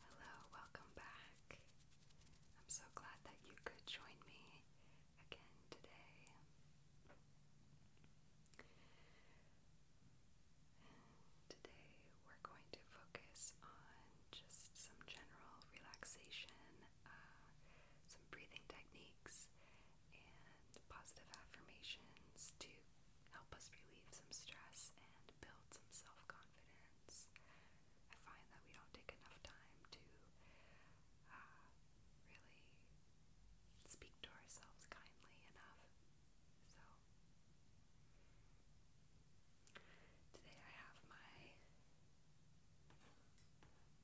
Hello, welcome back. I'm so glad that you could join me again today. today we're going to focus on just some general relaxation, uh, some breathing techniques, and positive affirmations to help us relieve some stress and build some self confidence. I find that we don't take enough time to uh, really speak to ourselves kindly enough. So, today I have my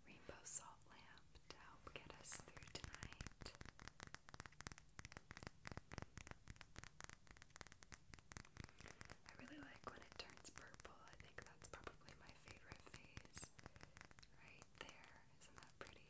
rainbow salt lamp to help get us through tonight. I really like when it turns purple. I think that's probably my favorite phase. Right there. Isn't that pretty?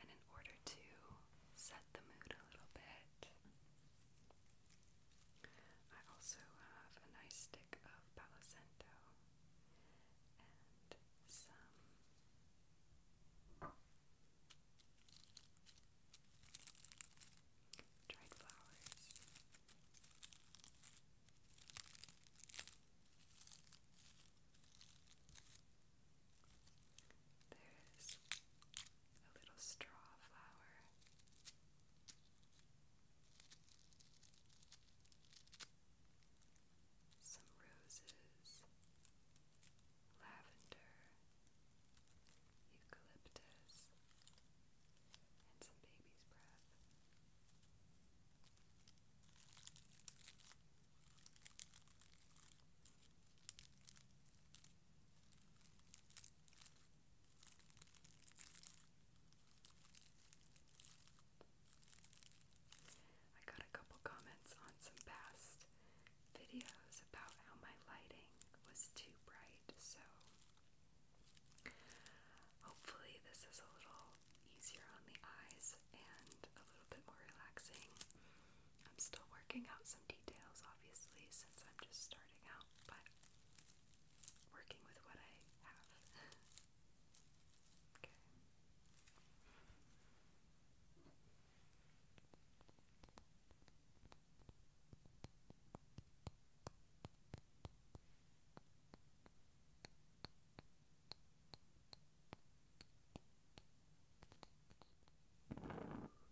And in order to set the mood a little bit, I also have a nice stick of Palacento and some dried flowers. There's a little straw flower. Some roses, lavender, eucalyptus, and some baby's breath. I got a couple comments on some past videos about how my lighting was too bright, so hopefully, this is a little easier on the eyes and a little bit more relaxing. I'm still working out some details, obviously, since I'm just starting out, but working with what I have. okay.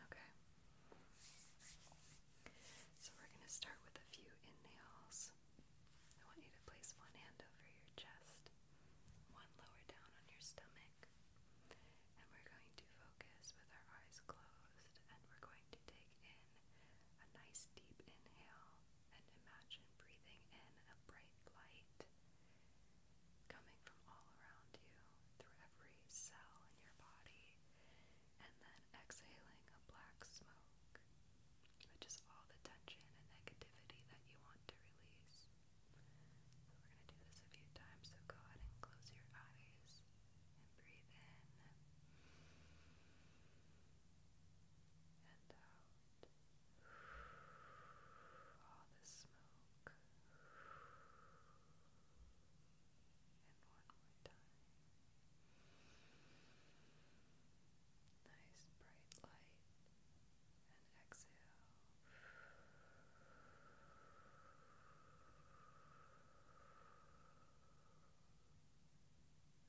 Okay. So we're going to start with a few inhales. I want you to place one hand over your chest, one lower down on your stomach, and we're going to focus with our eyes closed and we're going to take in a nice deep inhale and imagine breathing in a bright light coming from all around you through every cell in your body and then exhaling a black smoke which all the tension and negativity that you want to release. we're going to do this a few times, so go ahead and close your eyes and breathe in and out. All the smoke. And one more time. Nice bright light. And exhale.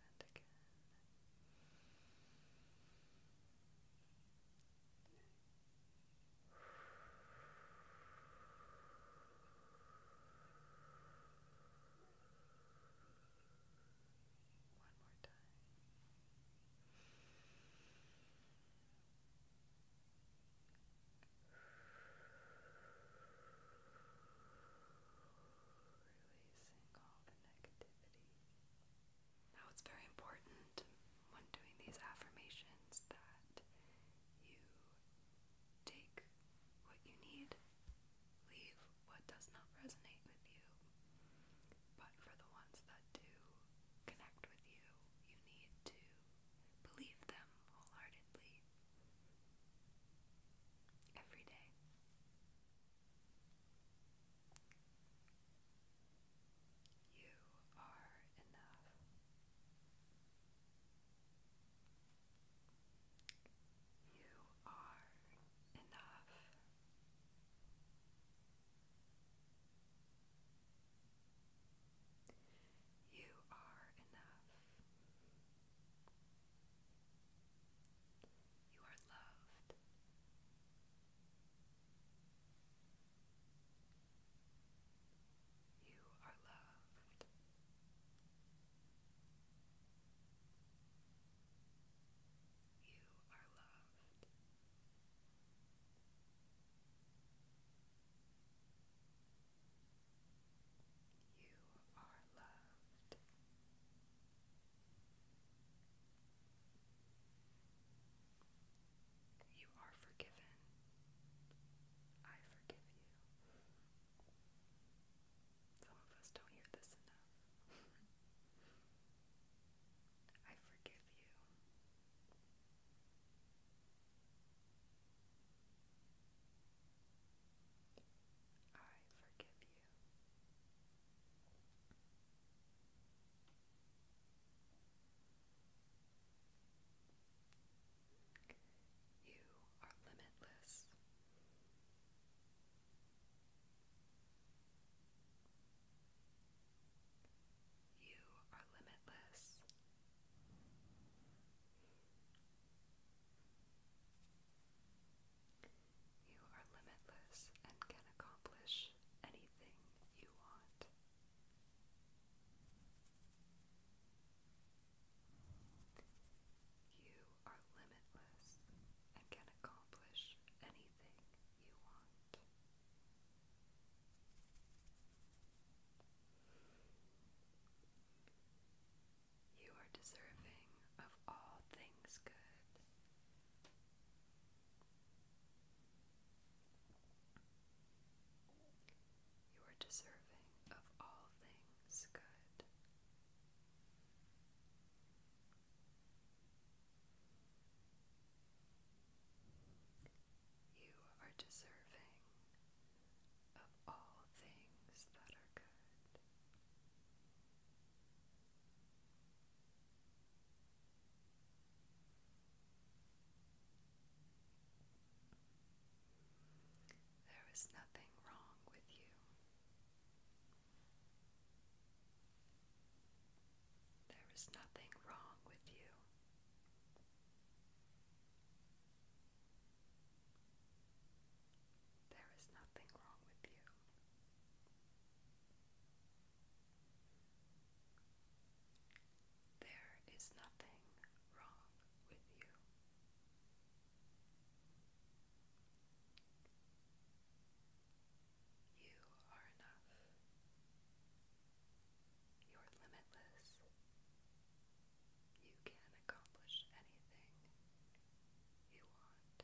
And again. One more time. Releasing all the negativity. Now, it's very important when doing these affirmations that you take what you need, leave what does not resonate with you. But for the ones that do connect with you, you need to believe them wholeheartedly every day. You are enough. You are enough. You are enough. You are loved. You are loved. You are loved. You are loved. You are forgiven. I forgive you. Some of us don't hear this enough. I forgive you. I forgive you. You are limitless. You are limitless. You are limitless and can accomplish anything you want. You are limitless and can accomplish anything you are deserving of all things good. You are deserving of all things good. You are deserving of all things that are good. There is nothing wrong with you. There is nothing wrong with you. There is nothing wrong with you. There is nothing wrong with you. You are enough. You're limitless. You can accomplish anything you want. You are loved.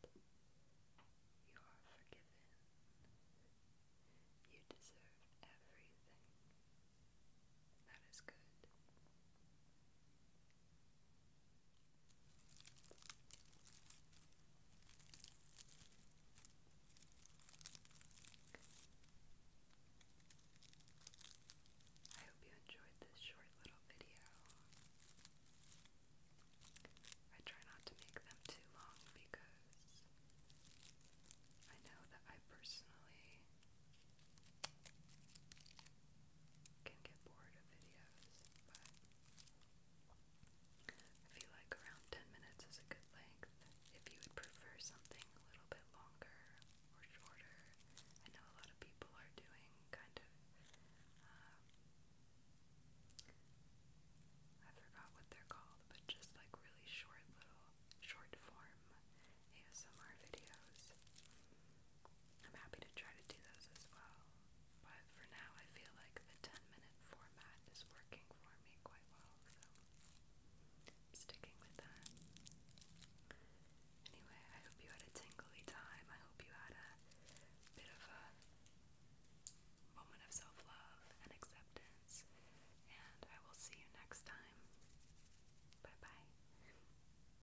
You are forgiven. You deserve everything that is good. I hope you enjoyed this short little video. I try not to make them too long because I know that I personally can get bored of videos, but I feel like around 10 minutes is a good length. If you would prefer something a little bit longer or shorter, I know a lot of people are doing kind of, um, I forgot what they're called, but just like really short little, short form ASMR videos. I'm happy to try to do those as well, but for now I feel like the 10 minute format is working for me quite well, so sticking with that. Anyway, I hope you had a tingly time. I hope you had a bit of a moment of self love and acceptance, and I will see you next time. Bye bye.